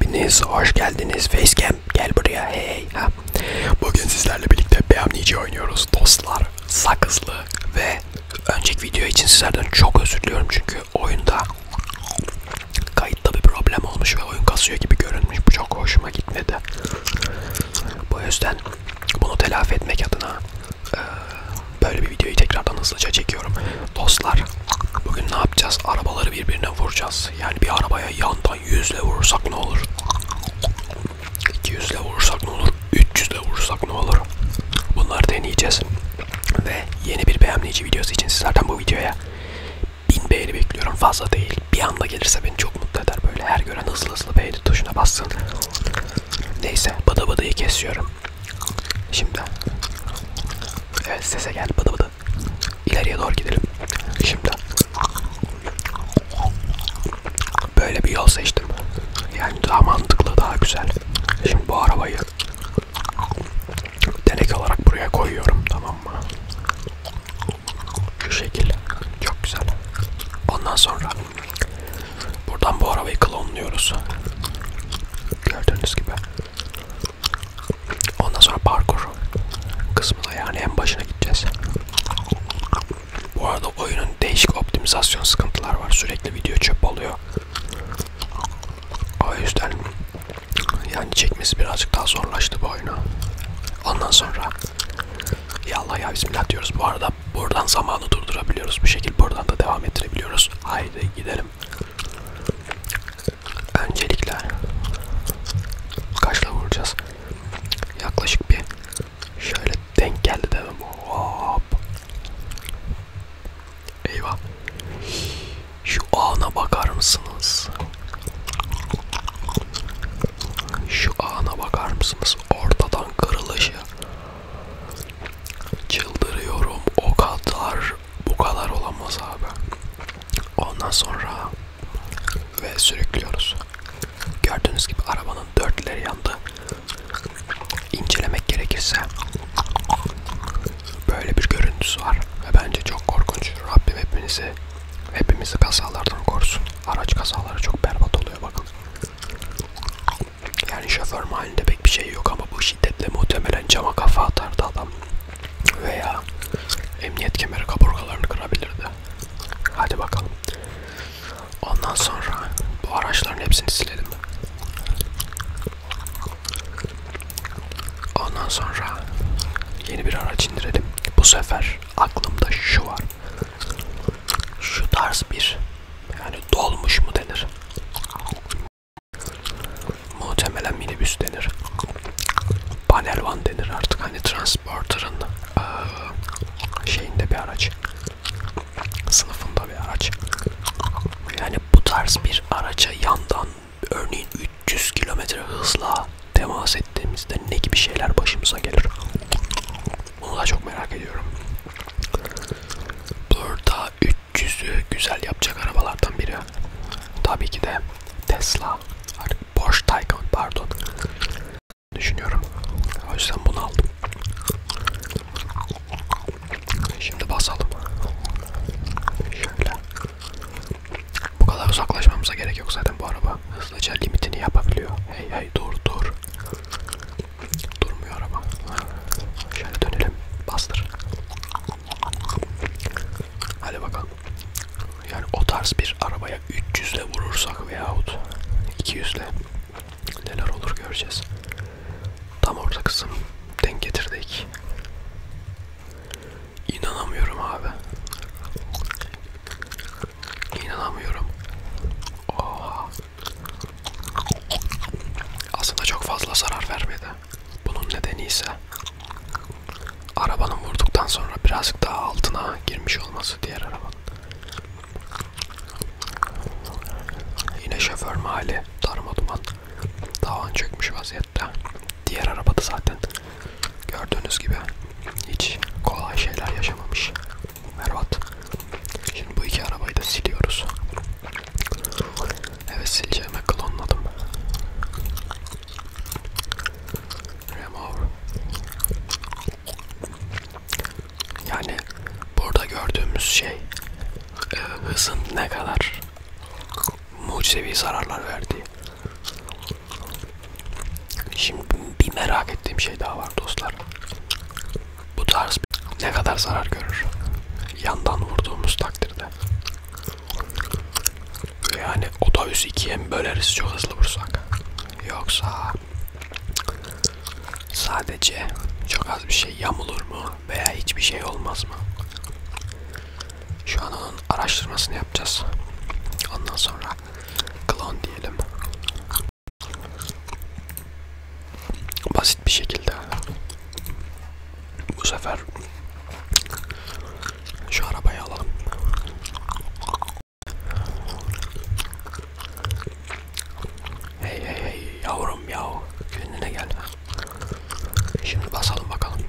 Hepiniz hoş geldiniz Facecam gel buraya hey ha. Bugün sizlerle birlikte BMNC oynuyoruz dostlar sakızlı ve önceki video için sizlerden çok özür diliyorum çünkü oyunda kayıtta bir problem olmuş ve oyun kasıyor gibi görünmüş bu çok hoşuma gitmedi. Bu yüzden bunu telafi etmek adına böyle bir videoyu tekrardan hızlıca çekiyorum. Dostlar bugün ne yapacağız? Arabaları birbirine vuracağız. Yani bir arabaya yandan 100 ile vurursak ne olur? 200 ile vurursak ne olur? 300 ile vurursak ne olur? Bunları deneyeceğiz. Ve yeni bir beğenleyici videosu için sizlerden bu videoya 1000 beğeni bekliyorum. Fazla değil. Bir anda gelirse beni çok mutlu eder. Böyle her gören hızlı hızlı beğeni tuşuna bassın. Neyse bıdı bıdıyı kesiyorum. Şimdi evet sese gel bıdı bıdı kaldı. İleriye doğru gidelim. Şimdi böyle bir yol seçtim. Yani daha mantıklı, daha güzel. Şimdi bu arabayı denek olarak buraya koyuyorum, tamam mı? Şu şekil. Çok güzel. Ondan sonra buradan bu arabayı klonluyoruz. Gördüğünüz gibi. Ondan sonra parkur kısmına yani en başına gideceğiz. Bu arada oyunun değişik optimizasyon sıkıntılar var. Sürekli video çöp oluyor. O yüzden yani çekmesi birazcık daha zorlaştı bu oyunu. Ondan sonra ya Allah ya bismillah diyoruz. Bu arada buradan zamanı durdurabiliyoruz. Bu şekilde buradan da devam ettirebiliyoruz. Haydi gidelim öncelikle kaçla vuracağız? Yaklaşık bir şöyle denk geldi demem. Hop. Eyvah. Şu ana bakar mısınız? Şu ana bakar mısınız? Ortadan kırılışı. Çıldırıyorum o kadar bu kadar olamaz abi. Ondan sonra ve sürüklüyoruz. Gördüğünüz gibi arabanın dörtleri yandı. İncelemek gerekirse böyle bir görüntüsü var ve bence çok korkunç. Rabbim hepinizi hepimizi kazalardan korusun. Araç kazaları çok berbat oluyor bakın. Yani şoför mahallinde pek bir şey yok ama bu şiddetle muhtemelen cama kafa atardı adam. Veya emniyet kemeri kaburgalarını kırabilirdi. Hadi bakalım. Ondan sonra bu araçların hepsini silelim. Ondan sonra yeni bir araç indirelim. Bu sefer aklımda şu var. Şu tarz bir yani dolmuş mu denir? Muhtemelen minibüs denir. Panel van denir artık hani transporter'ın ee, şeyinde bir araç. Sınıfında bir araç. Yani bu tarz bir araca yandan örneğin 300 kilometre hızla temas ettiğimizde ne gibi şeyler başımıza gelir? Bunu da çok merak ediyorum. Burada 300'ü güzel yapacak arabalardan biri. Tabii ki de Tesla. Porsche Taycan pardon. Düşünüyorum. O yüzden bunu aldım. E, şimdi basalım. Şöyle. Bu kadar uzaklaşmamıza gerek yok zaten bu araba. Hızlıca limitini yapabiliyor. Hey hey dur dur. Durmuyor araba. Şöyle dönelim. Bastır. Hadi bakalım. Yani o tarz bir arabaya 300 ile vurursak veyahut 200 ile neler olur göreceğiz. Tam orta kısım denk getirdik. İnanamıyorum abi. İnanamıyorum. Oha. Aslında çok fazla zarar vermedi. Bunun nedeni ise arabanın vurduktan sonra birazcık daha altına girmiş olması diğer arabanın. Yine şoför mahalli darma duman tavan çökmüş vaziyette. Diğer arabada zaten gördüğünüz gibi hiç kolay şeyler yaşamamış. Mervat. Şimdi bu iki arabayı da siliyoruz. Evet sileceğime klonladım. Remove. Yani burada gördüğümüz şey e, hızın ne kadar mucizevi zararlar verdiği. Şimdi bir merak ettiğim şey daha var dostlar bu tarz ne kadar zarar görür yandan vurduğumuz takdirde yani otobüs ikiye mi böleriz çok hızlı vursak yoksa sadece çok az bir şey yamulur mu veya hiçbir şey olmaz mı şu an onun araştırmasını yapacağız ondan sonra klon diyelim basit bir şekilde bu sefer şu arabayı alalım. Hey hey hey yavrum yav kendine gel. Şimdi basalım bakalım.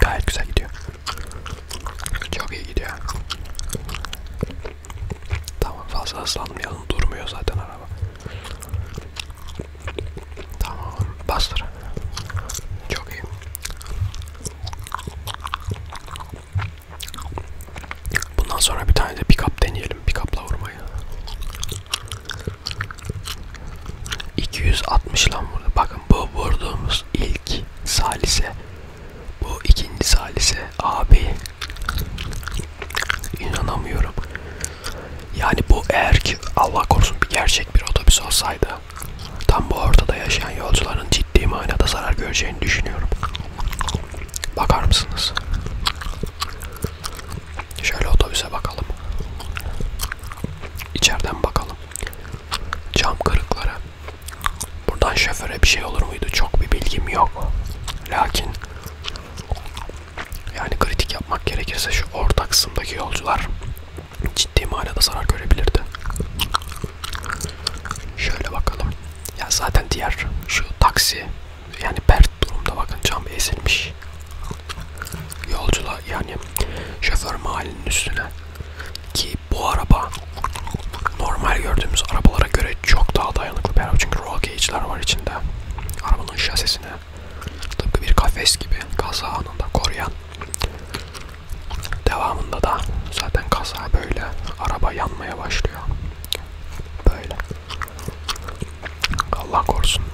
Gayet güzel gidiyor. Çok iyi gidiyor. Tamam fazla hızlanmayalım. Durmuyor zaten araba. Tamam. Bastır. Çok iyi. Bundan sonra bir tane de pick-up deneyelim. Pick-up'la vurmayı. 260 lan vurdu. Bakın bu vurduğumuz ilk salise. Bu ikinci salise. Abi. İnanamıyorum. Yani bu eğer ki Allah korusun bir gerçek bir otobüs olsaydı tam bu ortada yaşayan yolcuların ciddi manada zarar göreceğini düşünüyorum. Bakar mısınız? Şöyle otobüse bakalım. İçeriden bakalım. Cam kırıkları. Buradan şoföre bir şey olur muydu? Çok bir bilgim yok. Lakin yani kritik yapmak gerekirse şu orta kısımdaki yolcular ciddi manada zarar görebilirdi. Şöyle bakalım. Ya zaten diğer şu taksi yani pert durumda bakın cam ezilmiş. Yolcular yani şoför mahallinin üstüne ki bu araba normal gördüğümüz arabalara göre çok daha dayanıklı bir araba çünkü roll cage'ler var içinde. Arabanın şasisini tıpkı bir kafes gibi kaza anında koruyan. Devamında da zaten kaza böyle araba yanmaya başlıyor. Böyle. Allah korusun.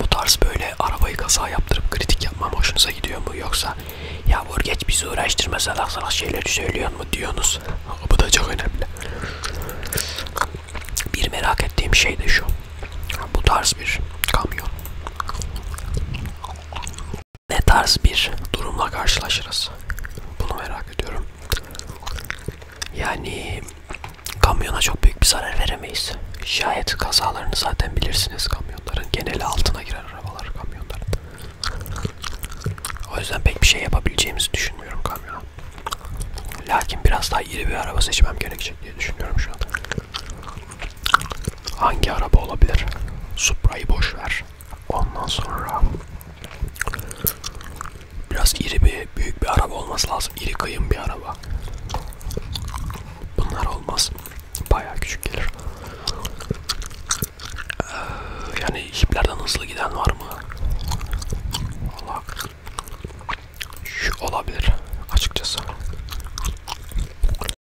Bu tarz böyle arabayı kaza yaptırıp kritik yapmam hoşunuza gidiyor mu yoksa ya vur geç bizi uğraştırma salak salak şeyleri söylüyor mu diyorsunuz. Bu da çok önemli. Bir merak ettiğim şey de şu. Bu tarz bir kamyon. Ne tarz bir durumla karşılaşırız? Bunu merak ediyorum. Yani kamyona çok büyük bir zarar veremeyiz. Şayet kazalarını zaten bilirsiniz kamyonların. Geneli altına girer arabalar kamyonların. O yüzden pek bir şey yapabileceğimizi düşünmüyorum kamyona. Lakin biraz daha iri bir araba seçmem gerekecek diye düşünüyorum şu an. Hangi araba olabilir? Supra'yı boş ver. Ondan sonra biraz iri bir büyük bir araba olması lazım. İri kıyım bir araba. Bunlar olmaz. Bayağı küçük gelir. Ee, yani jiplerden hızlı giden var mı? Allah. Şu olabilir açıkçası.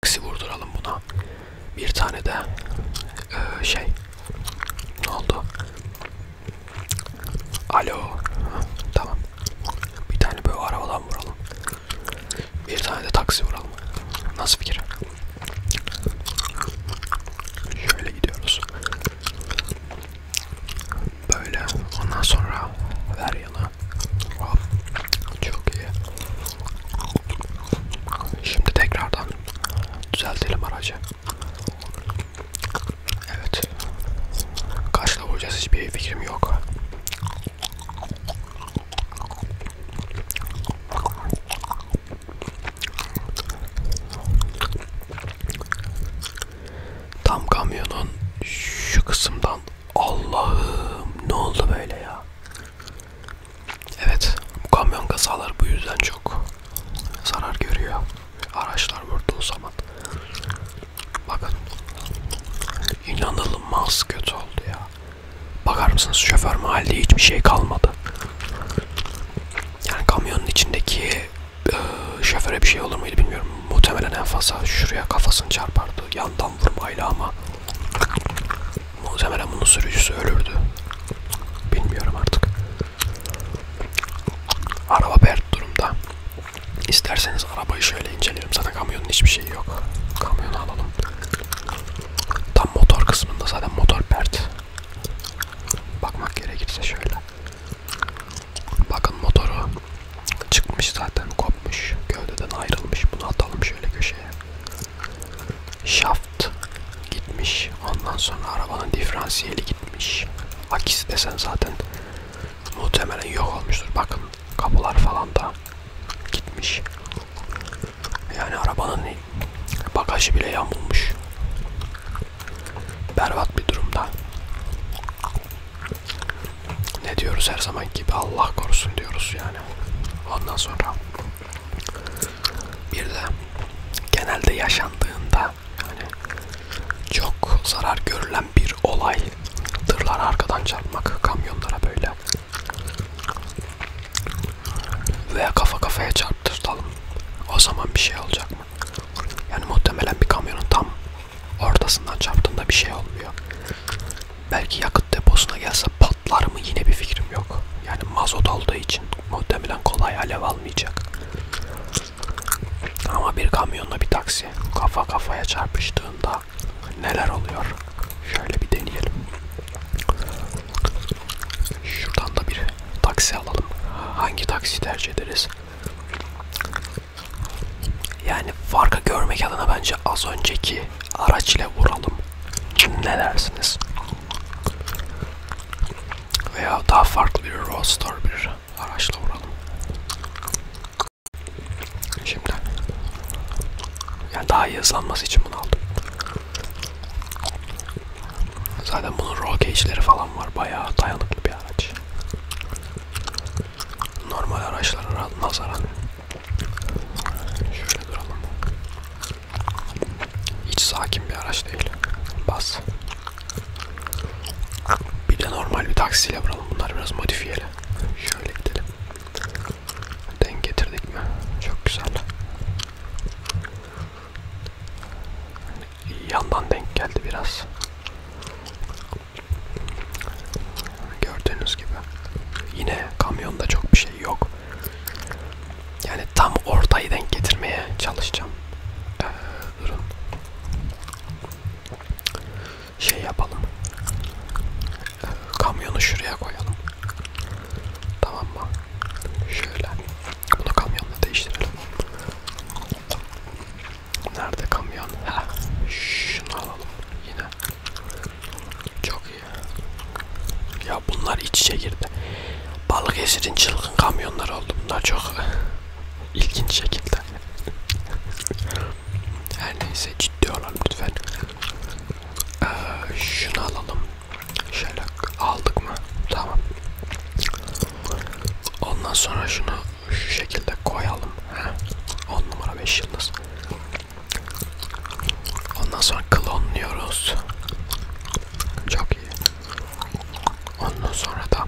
Taksi vurduralım buna. Bir tane de e, şey ne oldu? Alo. Ha, tamam. Bir tane böyle arabadan vuralım. Bir tane de taksi vuralım. Nasıl fikir? Şöyle gidiyoruz. Böyle. Ondan sonra ver yana. Hop. Çok iyi. Şimdi tekrardan düzeltelim aracı. Evet. Kaçla vuracağız hiçbir fikrim yok. Tam kamyonun şu kısımdan Allah'ım ne oldu böyle ya? Evet bu kamyon kazaları bu yüzden çok zarar görüyor. Araçlar vurduğu zaman. Bakın inanılmaz kötü oldu ya. Bakar mısınız şoför mahallede hiçbir şey kalmadı. Yani kamyonun içindeki e, şoföre bir şey olur muydu bilmiyorum. Muhtemelen en fazla şuraya kafasını çarpardı. Yandan vurmayla ama muhtemelen bunun sürücüsü ölürdü. Bilmiyorum artık. Araba pert durumda. İsterseniz arabayı şöyle inceleyelim. Zaten kamyonun hiçbir şeyi yok. Kamyonu alalım. Tam motor kısmında zaten motor pert. Bakmak gerekirse şöyle. Bakın motoru çıkmış zaten kopmuş. Gövdeden ayrılmış. Bunu atalım şöyle köşeye. Şaft gitmiş. Ondan sonra arabanın diferansiyeli gitmiş. Akisi desen zaten muhtemelen yok olmuştur. Bakın kapılar falan da gitmiş. Yani arabanın bagajı bile yamulmuş. Berbat bir durumda. Ne diyoruz her zaman gibi Allah korusun diyoruz yani. Ondan sonra bir de genelde yaşandığında yani çok zarar görülen bir olay tırlar arkadan çarpmak kamyonlara böyle veya kafa kafaya çarptırtalım. O zaman bir şey olacak mı? Yani muhtemelen bir kamyonun tam ortasından çarptığında bir şey olmuyor. Belki yakıt deposuna gelse patlar mı yine bir fikrim yok. Yani mazot olduğu için muhtemelen kolay alev almayacak. Ama bir kamyonla bir taksi kafa kafaya çarpıştığında neler oluyor? Şöyle bir deneyelim. Şuradan da bir taksi alalım. Hangi taksi tercih ederiz? Yani farkı görmek adına bence az önceki araç ile vuralım. Şimdi ne dersiniz? Veya daha farklı bir roadster bir araçla vuralım. Şimdi yani daha iyi hızlanması için bunu aldım. Zaten bunun roll cage'leri falan var. Bayağı dayanıklı bir araç. Normal araçlara nazaran. Şöyle duralım. Hiç sakin bir araç değil. Bas. Bir de normal bir taksiyle vuralım. Bunlar biraz modifiyeli. Şöyle gidelim. Denk getirdik mi? Çok güzel. Yandan denk geldi biraz. Gördüğünüz gibi. Yine kamyonda çok bir şey yok. Yani tam ortayı denk getirmeye çalışacağım. Ee, durun. Şey yapalım. Kamyonu şuraya koyalım. Tamam mı? Şöyle. Bunu kamyonla değiştirelim. Nerede kamyon? Ha, şunu alalım yine. Çok iyi. Ya bunlar iç içe girdi. Balıkesir'in çılgın kamyonlar oldu. Bunlar çok ilginç şekilde. Her neyse ciddi olalım lütfen. Ee, şunu alalım. Şöyle aldık mı? Tamam. Ondan sonra şunu şu şekilde koyalım. Heh. 10 numara 5 yıldız. Ondan sonra klonluyoruz. Çok iyi. Ondan sonra da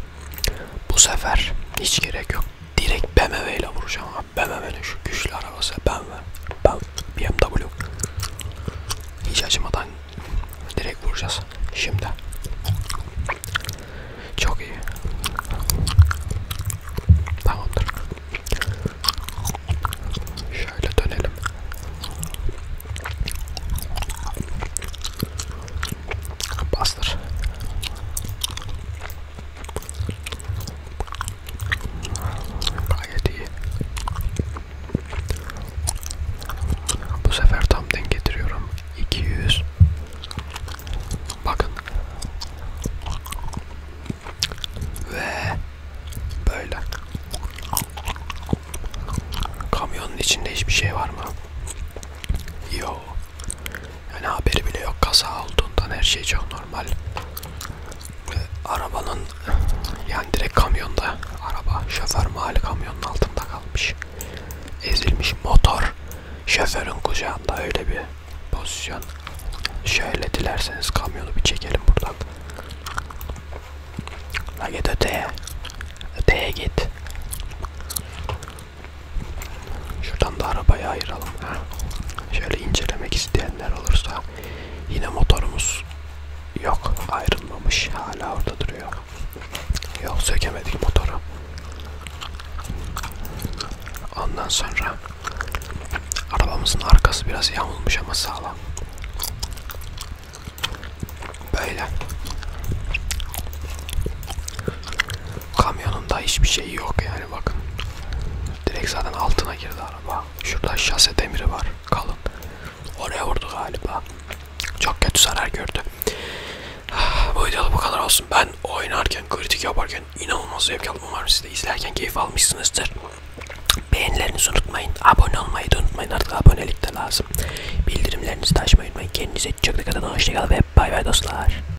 bu sefer hiç gerek yok. Direkt BMW ile vuracağım ben hemen şu güçlü arabası ben ver. Ben BMW. Hiç acımadan direkt vuracağız. Şimdi. Çok iyi. Tamamdır. Şöyle dönelim. Bastır. Gayet iyi. Bu sefer tam denk getiriyorum. 200. Bakın. Ve böyle. Kamyonun içinde hiçbir şey var mı? Yo. Yani haberi bile yok kaza olduğundan her şey çok normal. Ve arabanın yani direkt kamyonda araba şoför mahalle kamyonun altında kalmış. Ezilmiş motor şoförün kucağında öyle bir pozisyon. Şöyle dilerseniz kamyonu bir çekelim buradan. La git öteye. Öteye git. Şuradan da arabaya ayıralım. Ha. Şöyle incelemek isteyenler olursa yine motorumuz yok ayrılmamış hala orada duruyor. Yok sökemedik motoru. Ondan sonra arabamızın arkası biraz yamulmuş ama sağlam. Böyle. Kamyonunda hiçbir şey yok yani bakın. Direkt zaten altına girdi araba. Şurada şase demiri var kalın. Oraya vurdu galiba. Çok kötü zarar gördü. Bu videoda bu kadar olsun. Ben oynarken, kritik yaparken inanılmaz zevk aldım. Umarım siz de izlerken keyif almışsınızdır. Beğenilerinizi unutmayın. Abone olmayı da unutmayın. Artık abonelik de lazım. Bildirimlerinizi de açmayı unutmayın. Kendinize çok dikkat edin. Hoşçakalın ve bay bay dostlar.